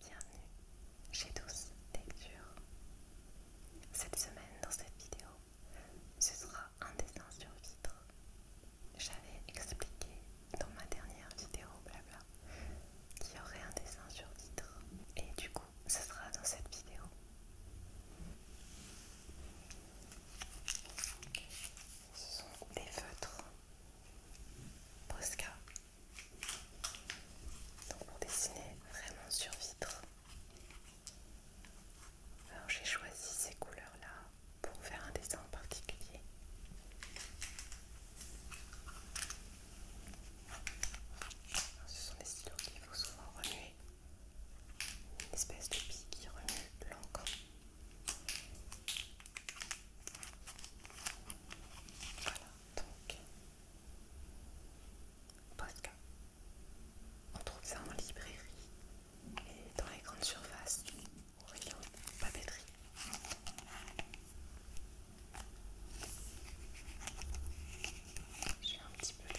Bienvenue chez Douce Lecture. Cette semaine, dans cette vidéo, ce sera un dessin sur vitre. J'avais expliqué dans ma dernière vidéo, blabla, qu'il y aurait un dessin sur vitre. Et du coup, ce sera dans cette vidéo. Ce sont des feutres Posca. Donc pour dessiner vraiment sur vitre. Alors j'ai choisi ces couleurs-là pour faire un dessin en particulier. ce sont des stylos qu'il faut souvent remuer une espèce de pie qui remue l'encre. Voilà, donc que On trouve ça en librairie et dans les grandes surfaces au rayon papeterie. J'ai un petit peu de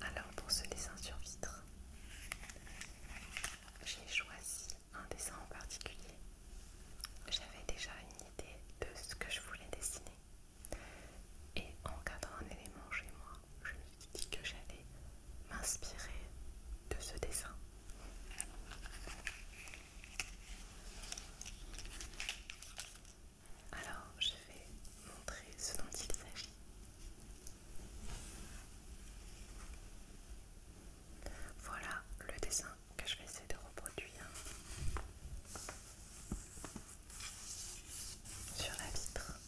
Alors pour ce dessin sur vitre, j'ai choisi un dessin en particulier. J'avais déjà une idée de ce que je voulais dessiner. Et en gardant un élément chez moi, je me suis dit que j'allais m'inspirer de ce dessin. Alors, je vais montrer ce dont il s'agit. Voilà le dessin que je vais essayer de reproduire sur la vitre.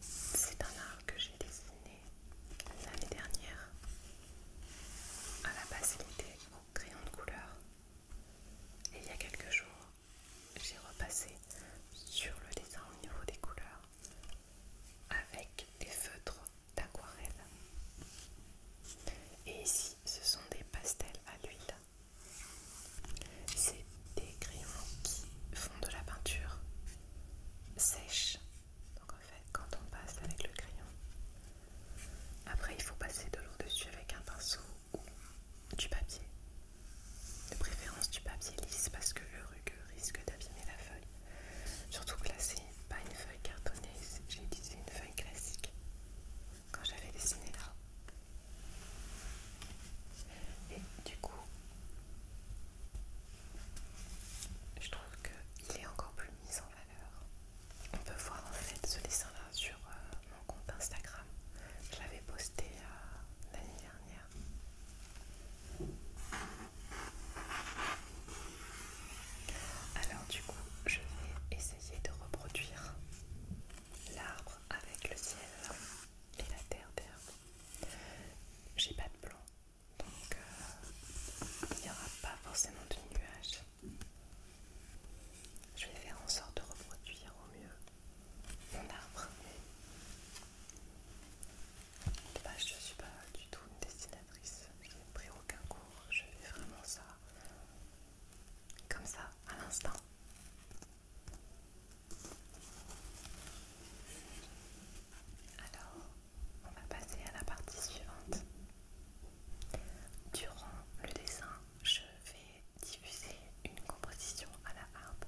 C'est un art que j'ai dessiné l'année dernière. À la base, au crayon de couleur. Et il y a quelques jours, j'ai repassé sur le dessin au niveau des couleurs avec des feutres d'aquarelle. Et ici, ce sont des pastels à l'huile. C'est des crayons qui font de la peinture sèche. Donc en fait, quand on passe avec le crayon, après il faut passer de l'eau dessus avec un pinceau ou du papier. De préférence du papier lisse parce que le rugueux risque d'abîmer la feuille. Surtout que là, c'est pas une feuille cartonnée, j'ai utilisé une feuille classique quand j'avais dessiné là. Et du coup, je trouve qu'il est encore plus mis en valeur. On peut voir en fait ce dessin-là sur euh, mon compte Instagram. Je l'avais posté euh, l'année dernière. Alors du coup, je vais essayer de reproduire l'arbre avec le ciel et la terre derrière. J'ai pas de plan donc euh, il n'y aura pas forcément de nuages. Je vais faire en sorte de reproduire au mieux mon arbre, mais je ne suis pas du tout une dessinatrice, je n'ai pris aucun cours, je fais vraiment ça comme ça à l'instant. Alors, on va passer à la partie suivante. Durant le dessin, je vais diffuser une composition à la harpe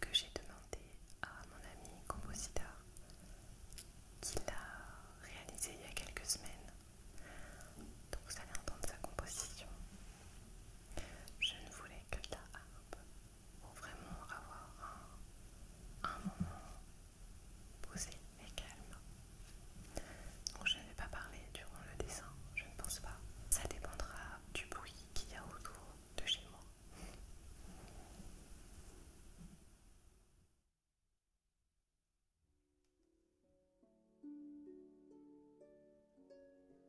que j'ai demandée à mon ami compositeur qui l'a réalisée il y a quelques semaines. Donc vous allez entendre sa composition. Je ne voulais que de la harpe pour vraiment avoir un, moment posé et calme. je n'avais pas parlé durant le dessin, je ne pense pas. Ça dépendra du bruit qu'il y a autour de chez moi.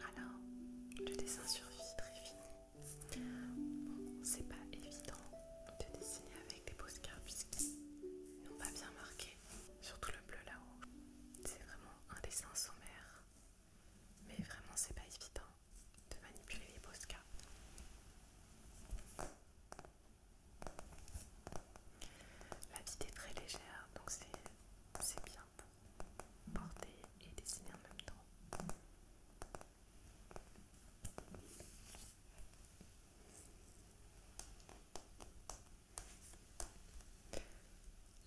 Alors, le dessin sur très est fini. Bon, c'est pas évident de dessiner avec des postcards puisqu'ils n'ont pas bien marqué, surtout le bleu là-haut. C'est vraiment un dessin sommaire, mais vraiment c'est pas évident de manipuler les postcards. La vie est très légère, donc c'est bien pour porter et dessiner en même temps.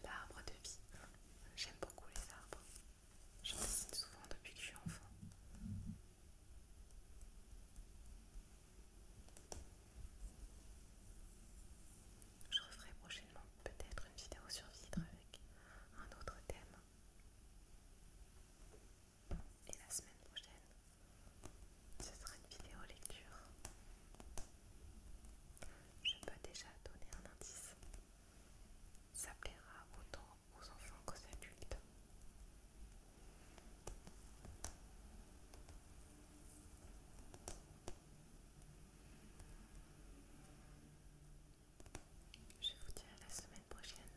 L'arbre de vie. J'aime beaucoup les arbres. J'en dessine souvent depuis que je suis enfant. Je referai prochainement peut-être une vidéo sur vitre avec un autre thème. Et la semaine prochaine, ce sera une vidéo lecture. Je peux déjà donner un indice. Ça plaira non aux enfants qu'aux adultes. Je vous dis à la semaine prochaine.